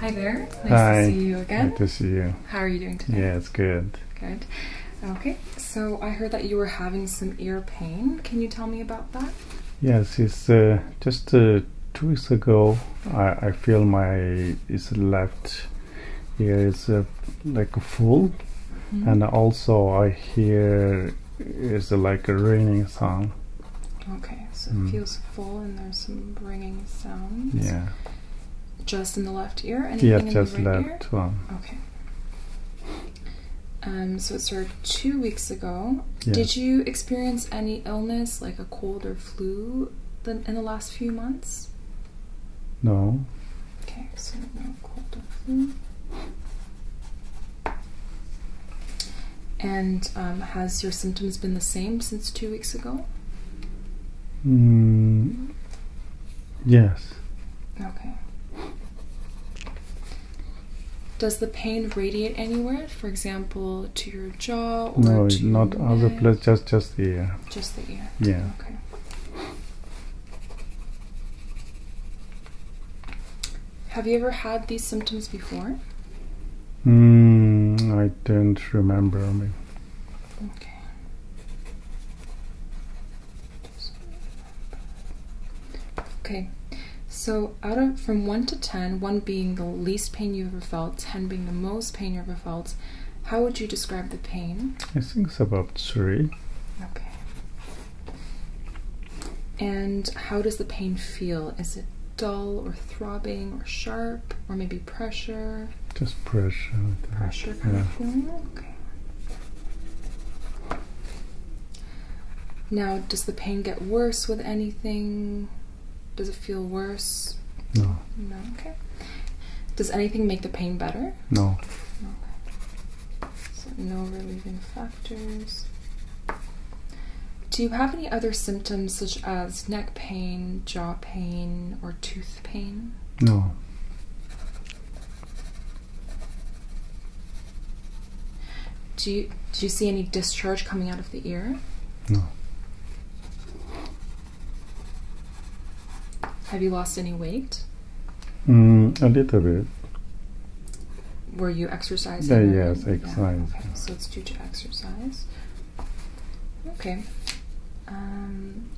Hi there. Nice to see you again. Good to see you. How are you doing today? Yeah, it's good. Good. Okay. So I heard that you were having some ear pain. Can you tell me about that? Yes, it's uh, just uh, two weeks ago. I, I feel my it's left ear is uh, like full, mm-hmm. and also I hear is it like a ringing sound. Okay, so it hmm. feels full and there's some ringing sounds. Yeah. Just in the left ear? yeah, just left one. Okay. Um, so it started two weeks ago. Yeah. Did you experience any illness, like a cold or flu, in the last few months? No. Okay, so no cold Mm-hmm. And um, has your symptoms been the same since two weeks ago? Mm, yes. Okay. Does the pain radiate anywhere? For example, to your jaw or no, to not other places. Just just the ear. Just the ear. Yeah. Okay. Have you ever had these symptoms before? Hmm, I don't remember. Okay. Okay. So out of from one to ten, one being the least pain you ever felt, ten being the most pain you ever felt, how would you describe the pain? I think it's about three. Okay. And how does the pain feel? Is it dull or throbbing or sharp or maybe pressure? Just pressure. Pressure yeah. Okay. Now, does the pain get worse with anything? Does it feel worse? No. No, okay. Does anything make the pain better? No. Okay. So no relieving factor. Do you have any other symptoms such as neck pain, jaw pain, or tooth pain? No. Do you, do you see any discharge coming out of the ear? No. Have you lost any weight? Mm, a little bit. Were you exercising? Yeah, yes, exercise. Okay. So it's due to exercise. Okay. Um,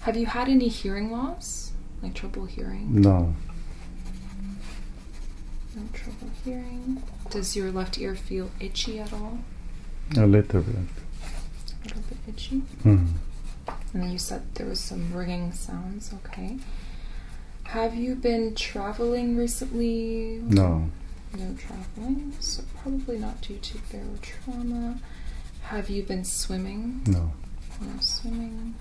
have you had any hearing loss, like trouble hearing? No. No trouble hearing. Does your left ear feel itchy at all? A little bit. A little bit itchy. Mm. And then you said there was some ringing sounds. Okay. Have you been traveling recently? No. No traveling, so probably not due to barotrauma. Have you been swimming? No. No swimming.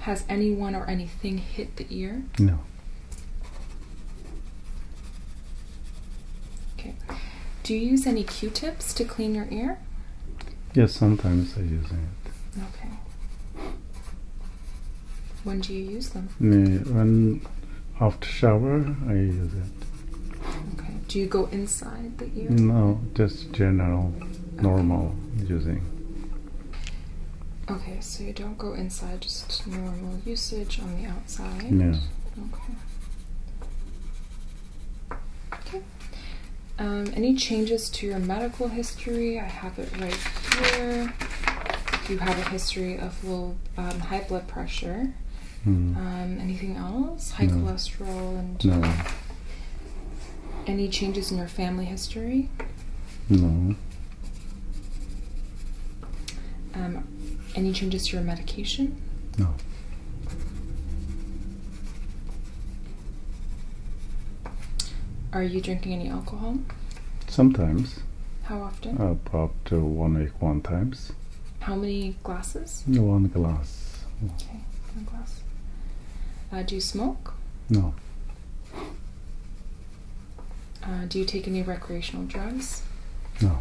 Has anyone or anything hit the ear? No. Okay. Do you use any Q-tips to clean your ear? Yes, sometimes I use it. Okay. When do you use them? Yeah, when after shower, I use it. Okay. Do you go inside the you? No, just general, normal using. Okay, so you don't go inside, just normal usage on the outside. Yeah. Okay. Okay. Um, any changes to your medical history? I have it right here. you have a history of low um, high blood pressure. Hmm. Um, anything else? High cholesterol and Any changes in your family history? No. any changes to your medication? No. Are you drinking any alcohol? Sometimes. How often? Uh, up to one week, one times. How many glasses? One glass. Okay, one glass. Uh, do you smoke? No. Uh, do you take any recreational drugs? No.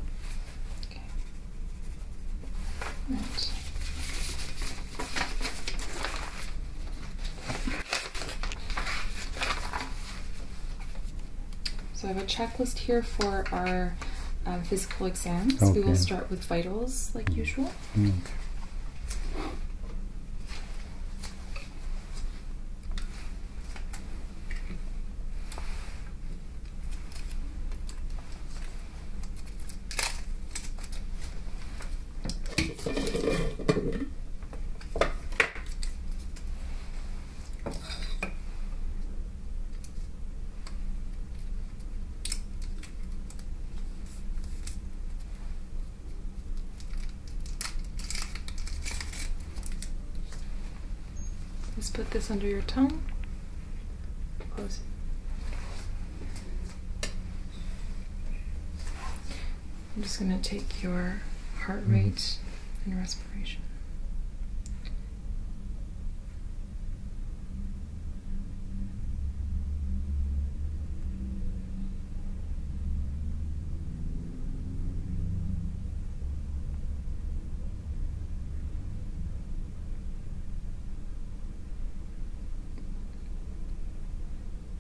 So I have a checklist here for our um, physical exams. We will start with vitals like usual. Mm. Just put this under your tongue. Close. I'm just going to take your heart mm-hmm. rate and respiration.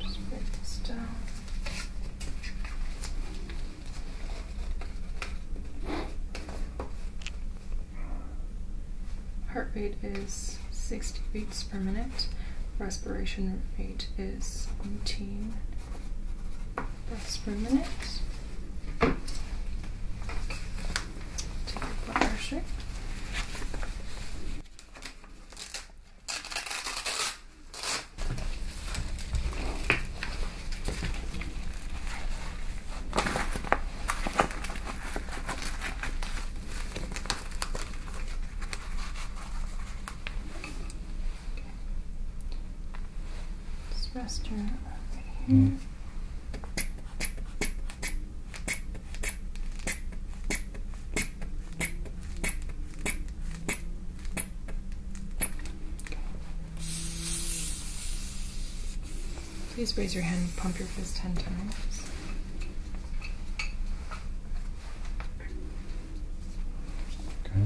Just break down. Heart rate is 60 beats per minute. Respiration rate is 18 breaths per minute to your bladder Just rest her over Please raise your hand, pump your fist 10 times. Okay.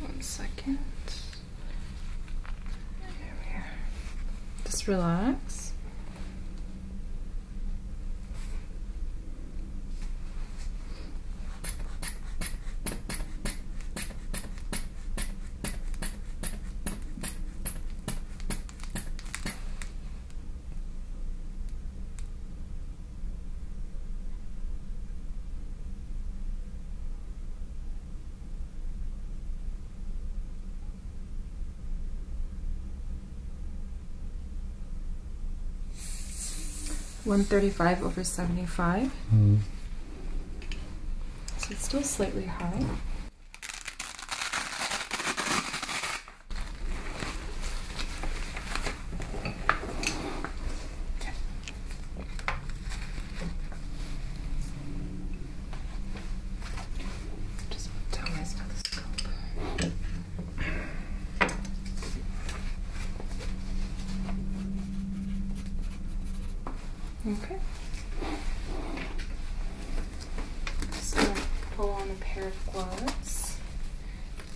One second. There we are. Just relax. 135 over 75. Hmm. So it's still slightly high. Just tell my stethoscope. Okay. I'm just going to pull on a pair of gloves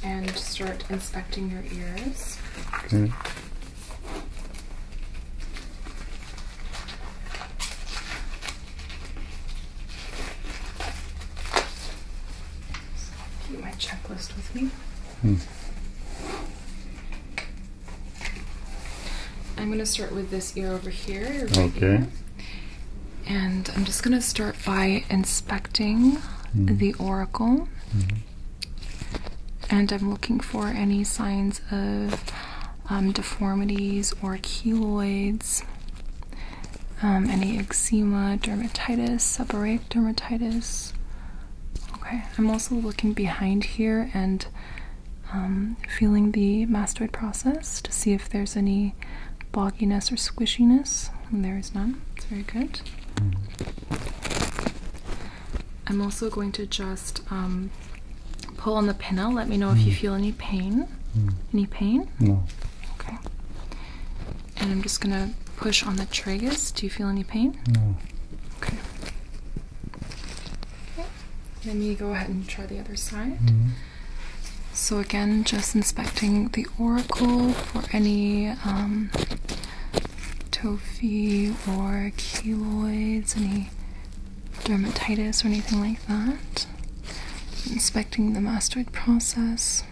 and start inspecting your ears. Hmm. keep my checklist with me. Hmm. I'm going to start with this ear over here. okay. And I'm just going to start by inspecting hmm. the oracle. Mm -hmm and I'm looking for any signs of um, deformities or keloids, um, any eczema, dermatitis, seborrheic dermatitis. Okay, I'm also looking behind here and um, feeling the mastoid process to see if there's any bogginess or squishiness. there is none. It's very good. Hmm. I'm also going to just um, pull on the pinna. Let me know if you mm. feel any pain. Mm. Any pain? No. Okay. And I'm just going to push on the tragus. Do you feel any pain? No. Okay. okay. Let me go ahead and try the other side. Mm-hmm. So again, just inspecting the auricle for any um, toffee or keloids, any dermatitis or anything like that. Inspecting the mastoid process.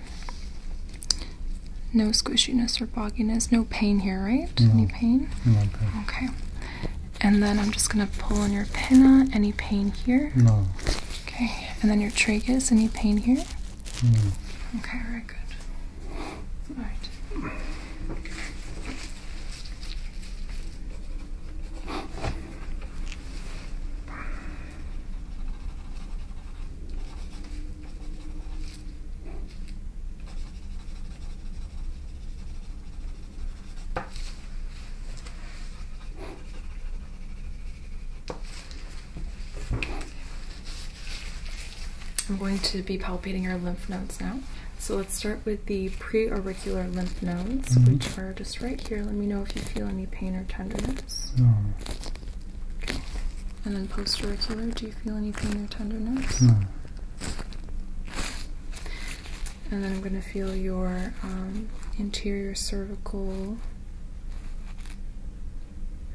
No squishiness or bogginess, no pain here, right? Any pain? No pain. Okay. And then I'm just gonna pull on your pina. Any pain here? No. Okay. And then your tragus. Any pain here? Hmm. Okay, very good. All right. I'm going to be palpating your lymph nodes now. So let's start with the preauricular lymph nodes, mm-hmm. which are just right here. Let me know if you feel any pain or tenderness. And then postauricular, do you feel any pain or tenderness? And then I'm going to feel your um, interior cervical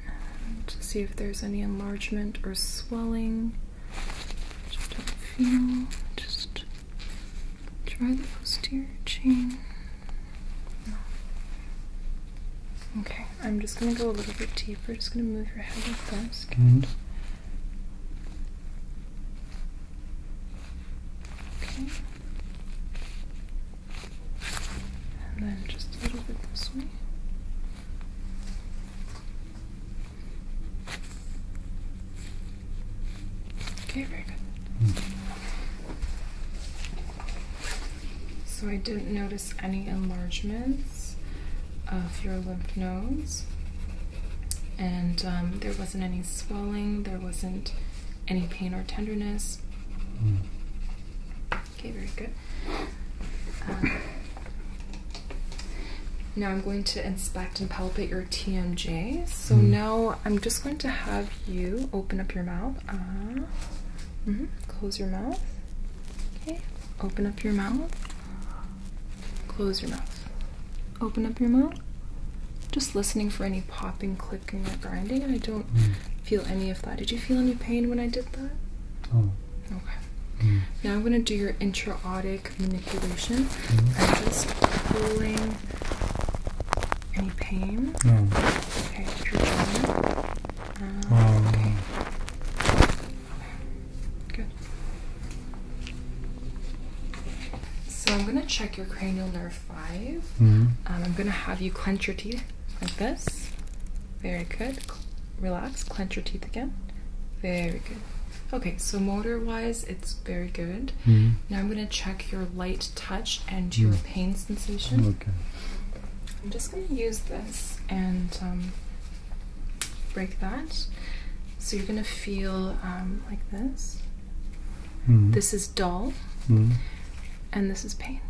and see if there's any enlargement or swelling. Just feel. Just try the posterior chain. No. Okay, I'm just gonna go a little bit deeper. Just gonna move your head like this. Okay. And then just a little bit this way. Okay, very good. So I didn't notice any enlargements of your lymph nodes, and um, there wasn't any swelling, there wasn't any pain or tenderness. Hmm. Okay, very good. Um, now I'm going to inspect and palpate your TMJ. So hmm. now I'm just going to have you open up your mouth. Uh, mm-hmm. Close your mouth. Okay. Open up your mouth. Close your mouth. Open up your mouth. Just listening for any popping, clicking, or grinding, I don't hmm. feel any of that. Did you feel any pain when I did that? Oh. Okay. Mm. Now I'm going to do your intraotic manipulation. Mm-hmm. I'm just pulling any pain. Oh. Okay, oh. um, So I'm going to check your cranial nerve 5. Mm I'm going to have you clench your teeth like this. Very good. Relax, clench your teeth again. Very good. Okay, so motor wise, it's very good. Mm-hmm. Now I'm going to check your light touch and your mm. pain sensation. Okay. I'm just going to use this and um, break that. So you're going to feel um, like this. Mm-hmm. This is dull, mm-hmm. and this is pain.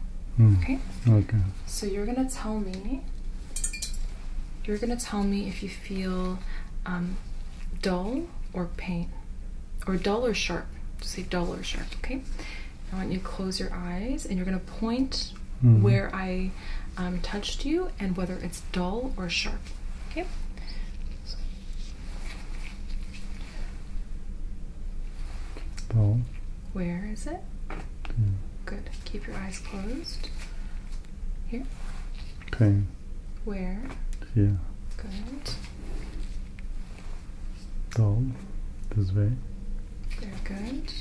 Okay? Okay. So you're going to tell me you're gonna tell me if you feel um, dull or pain, or dull or sharp. Just say dull or sharp, okay? I want you to close your eyes and you're gonna point mm-hmm. where I um, touched you and whether it's dull or sharp, okay? Dull. Where is it? Hmm. Good. Keep your eyes closed. Here. Okay. Where? Yeah. Good. Down. This way. Very good.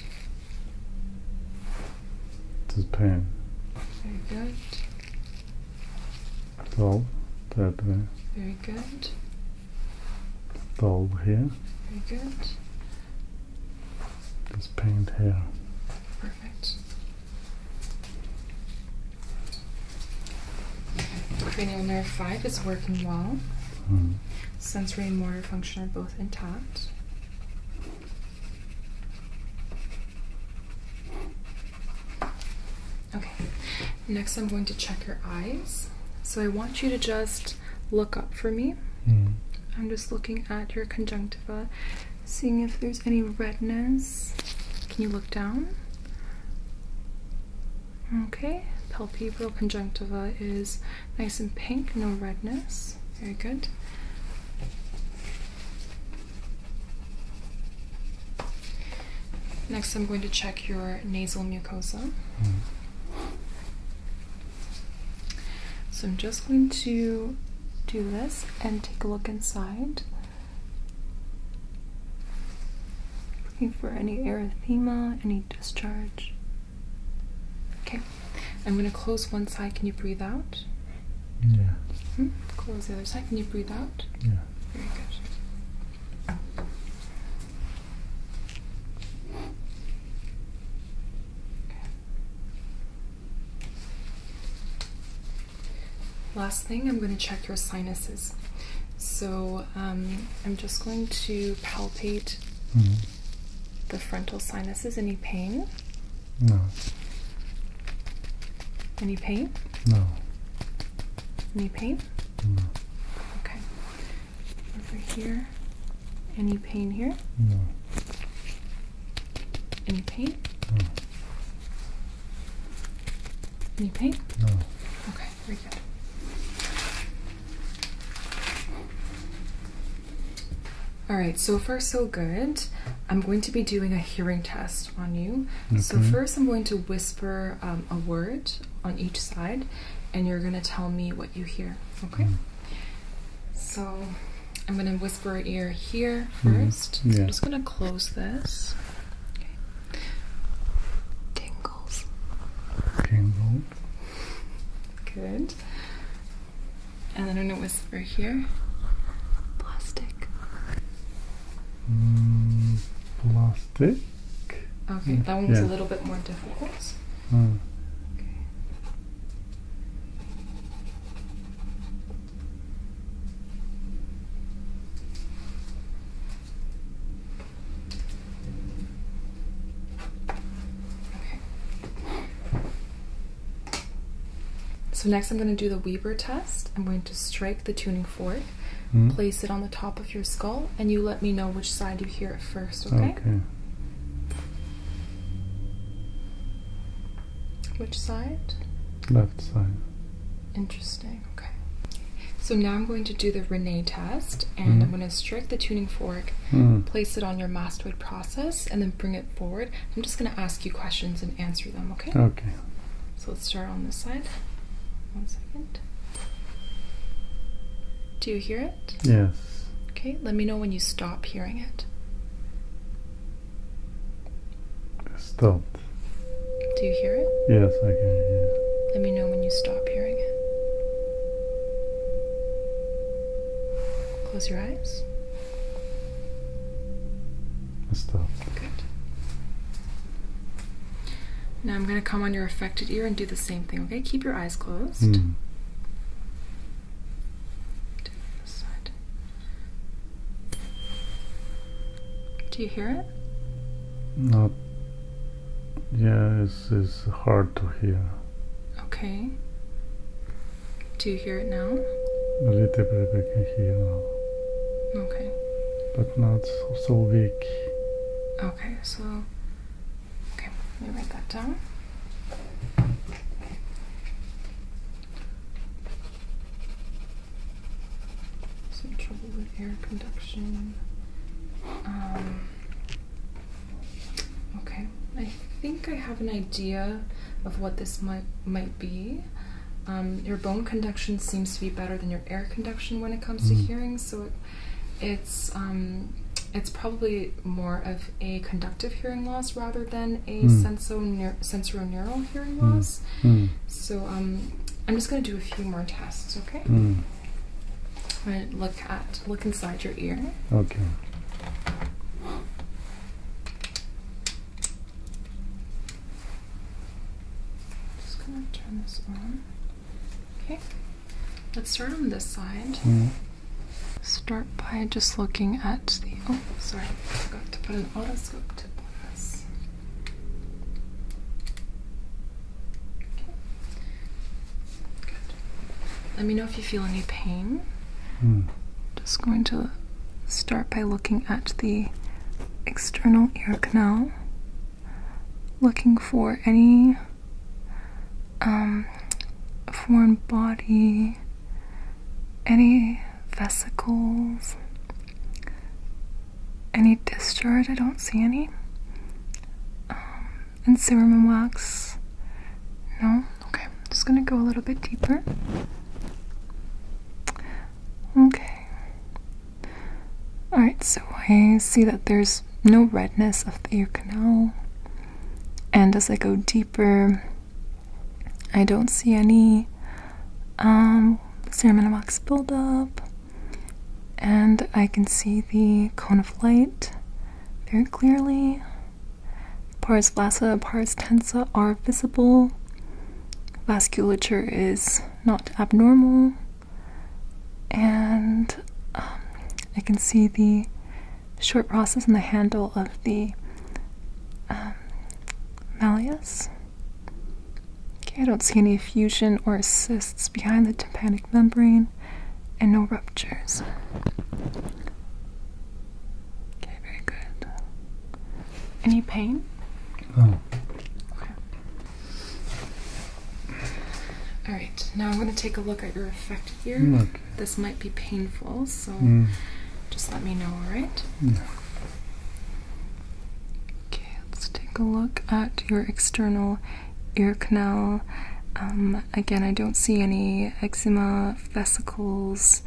This pain. Very good. Down. That way. Very good. Down here. Very good this paint here. Perfect. Cranial nerve 5 is working well. Mm. Sensory and motor function are both intact. Okay, next I'm going to check your eyes. So I want you to just look up for me. Hmm. I'm just looking at your conjunctiva, seeing if there's any redness. Can you look down? Okay, palpebral conjunctiva is nice and pink, no redness. Very good. Next, I'm going to check your nasal mucosa. Hmm. So I'm just going to do this and take a look inside. Looking for any erythema, any discharge. Okay, I'm going to close one side. Can you breathe out? Yeah. Hmm? Close the other side. Can you breathe out? Yeah. Very good. Last thing, I'm going to check your sinuses. So um, I'm just going to palpate mm-hmm. the frontal sinuses. Any pain? No. Any pain? No. Any pain? No. Okay. Over here. Any pain here? No. Any pain? No. Any pain? No. Okay, very good. All right, so far so good. I'm going to be doing a hearing test on you. So first I'm going to whisper um, a word on each side and you're going to tell me what you hear, okay? Mm. So I'm going to whisper ear here hmm. first. Mm, I'm just going to close this. Okay. Tingles. Tingle. Good. And then I'm going to whisper here. Plastic. Hmm, plastic. Okay, that one was a little bit more difficult. Hmm. So next I'm going to do the Weber test. I'm going to strike the tuning fork, hmm? place it on the top of your skull, and you let me know which side you hear it first, Okay. Which side? Left side. Interesting, okay. So now I'm going to do the Rene test and I'm mm-hmm. going to strike the tuning fork, mm. place it on your mastoid process, and then bring it forward. I'm just going to ask you questions and answer them, okay? Okay. So let's start on this side. One second. Do you hear it? Yes. Okay, let me know when you stop hearing it. It stopped. Do you hear it? Yes, I can hear it. Let me know when you stop hearing it. Close your eyes. stopped. Good. Now I'm going to come on your affected ear and do the same thing, okay? Keep your eyes closed. Hmm do you hear it? No. Yeah, it's, it's hard to hear. Okay. Do you hear it now? A little bit I can hear now. Okay. But not so, so weak. Okay, so. Okay, let me write that down. Some trouble with air conduction. Um, okay, I think I have an idea of what this might might be. Um, your bone conduction seems to be better than your air conduction when it comes to mm-hmm. hearing, so it's um, it's probably more of a conductive hearing loss rather than a mm. sensorineural hearing hmm. loss. Hmm. So um, I'm just going to do a few more tests, okay? I'm going to look at look inside your ear. Okay. Just going to turn this on. Okay. Let's start on this side. Hmm. Start by just looking at the. Oh, sorry, I forgot to put an otoscope to on Okay. Good. Let me know if you feel any pain. Hmm. Just going to start by looking at the external ear canal, looking for any um, foreign body any vesicles, any discharge. I don't see any. Um, and serum wax. No? Okay. just going to go a little bit deeper. Okay. Alright, so I see that there's no redness of the ear canal. And as I go deeper, I don't see any um, serum buildup, and I can see the cone of light very clearly. Pars flacida, pars tensa are visible. Vasculature is not abnormal, and um, I can see the short process on the handle of the um, malleus. Okay, I don't see any effusion or cysts behind the tympanic membrane and no ruptures. Okay, very good. Any pain? No. Okay. Alright, now I'm going to take a look at your effect here. Mm this might be painful, so mm. just let me know, alright? Okay, let's take a look at your external ear canal. Um, again, I don't see any eczema, vesicles,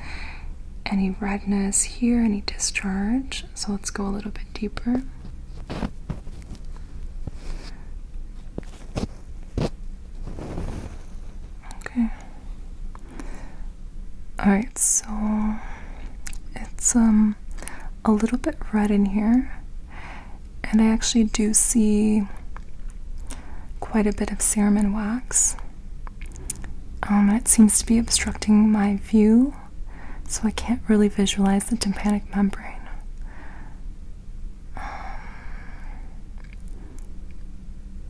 any redness here, any discharge. So let's go a little bit deeper. Okay. Alright, so it's um a little bit red in here, and I actually do see quite a bit of serum and wax. Um, it seems to be obstructing my view, so I can't really visualize the tympanic membrane. Um,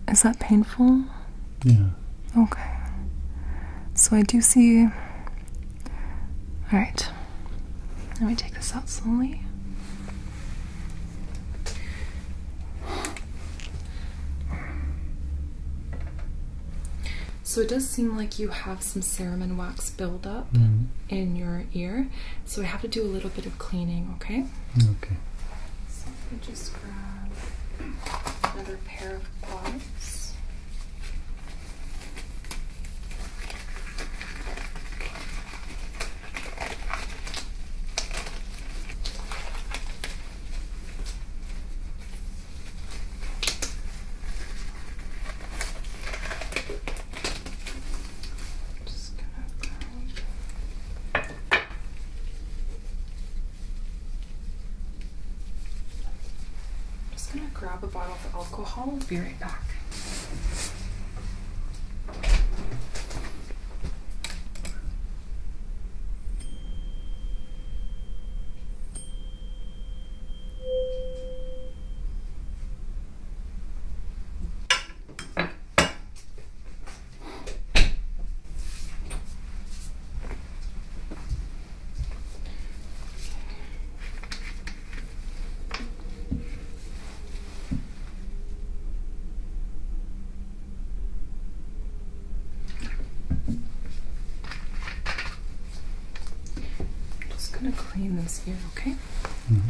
is that painful? Yeah. Okay. So I do see. All right. Let me take this out slowly. So it does seem like you have some serum wax buildup mm-hmm. in your ear. So I have to do a little bit of cleaning, okay? Okay another pair of gloves. just gonna I'm just gonna grab a bottle of alcohol and be right back. I'm just gonna clean this here, okay? Mm-hmm.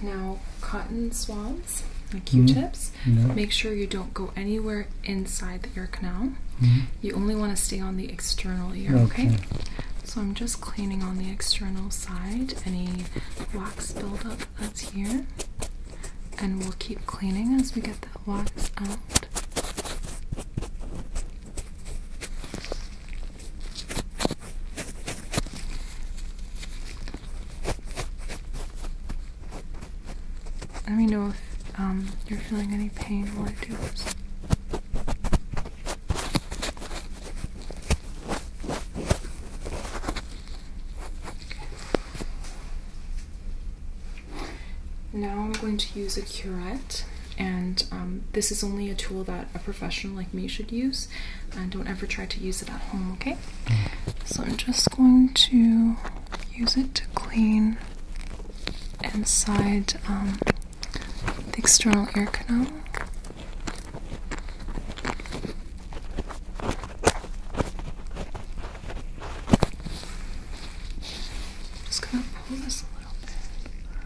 Now, cotton swabs, like mm-hmm. Q-tips. Make sure you don't go anywhere inside the ear canal. Mm-hmm. You only want to stay on the external ear, okay. So I'm just cleaning on the external side any wax buildup that's here. And we'll keep cleaning as we get the wax out. Let me know if um, you're feeling any pain while I do this. Now I'm going to use a curette and um, this is only a tool that a professional like me should use and uh, don't ever try to use it at home okay so i'm just going to use it to clean inside um, the external ear canal just gonna pull this a little bit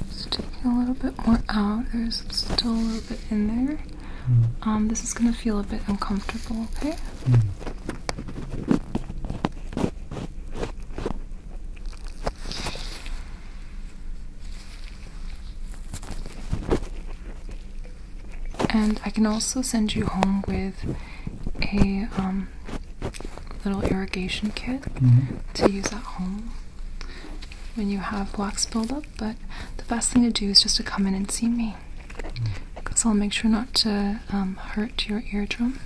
Just taking a little bit more out. There's still a little bit in there. Hmm. Um, this is gonna feel a bit uncomfortable. Okay. Hmm. And I can also send you home with a um, little irrigation kit mm-hmm. to use at home when you have wax buildup. But the best thing to do is just to come in and see me. Because I'll make sure not to um, hurt your eardrum.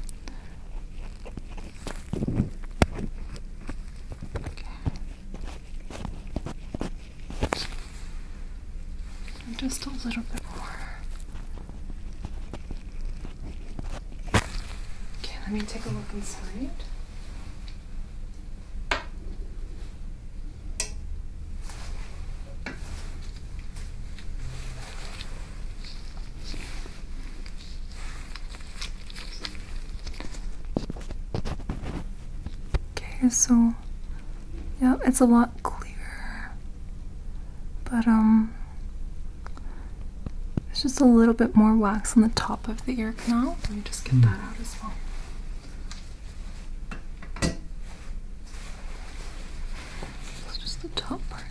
Just a little bit more. Okay, let me take a look inside. Okay, so yeah, it's a lot lot But, um, there's just a little bit more wax on the top of the ear canal. Let me just get hmm. that out as well. It's just the top part.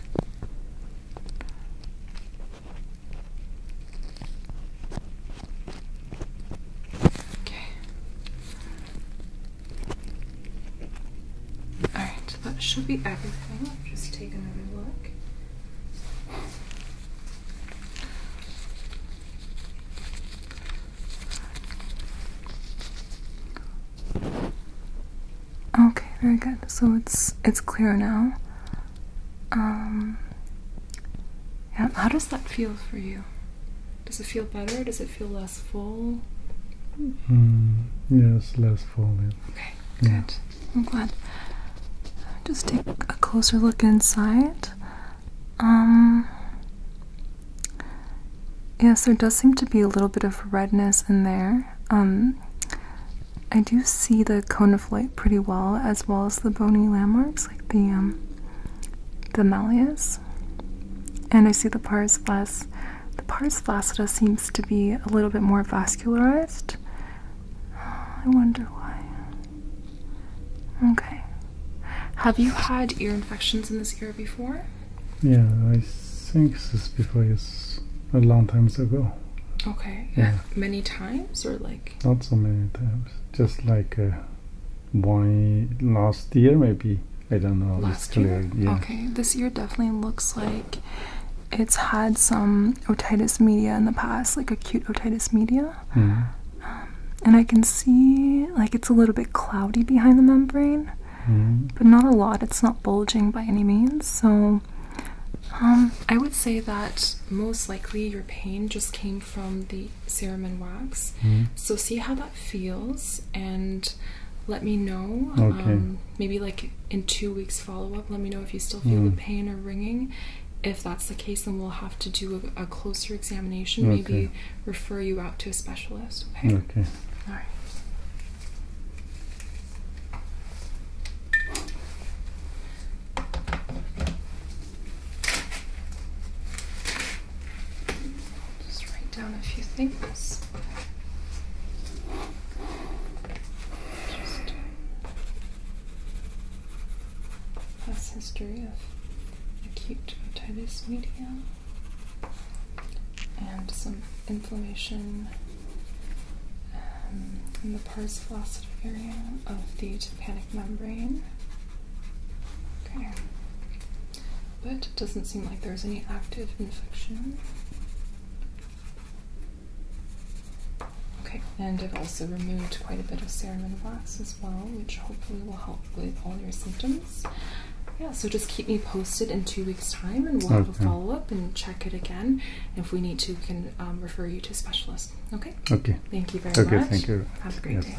Okay. Alright, that should be everything. just take another look. Okay, very good. So it's it's clear now. Um, yeah, how does that feel for you? Does it feel better? Does it feel less full? Mm, yes, less full. Yeah. Okay, good. I'm glad. Just take a closer look inside. Um, yes, there does seem to be a little bit of redness in there. Um, I do see the cone of light pretty well, as well as the bony landmarks, like the um, the malleus. And I see the pars flaccida. The pars flaccida seems to be a little bit more vascularized. I wonder why. Okay. Have you had ear infections in this ear before? Yeah, I think this before yes, a long time ago. Okay. Yeah. Many times or like? Not so many times. Just like uh, one last year maybe. I don't know. Last year? Yeah. Okay, this year definitely looks like it's had some otitis media in the past, like acute otitis media. Mm-hmm. Um, and I can see like it's a little bit cloudy behind the membrane, mm-hmm. but not a lot. It's not bulging by any means. So um, I would say that most likely your pain just came from the serum and wax. Mm-hmm. So see how that feels and let me know. Okay. Um, maybe like in two weeks follow up, let me know if you still feel the mm. pain or ringing. If that's the case, then we'll have to do a, a closer examination. Okay. Maybe refer you out to a specialist. Okay. Okay. All right. Just write down a few things. Just past history of acute otitis media and some inflammation um, in the pars flaccida area of the tympanic membrane. Okay but it doesn't seem like there's any active infection. Okay, and I've also removed quite a bit of serum wax as well, which hopefully will help with all your symptoms. Yeah, so just keep me posted in two weeks' time and we'll have a follow up and check it again. If we need to, we can um, refer you to a specialist. Okay? Okay. Thank you very much. Okay, thank you. Have a great day.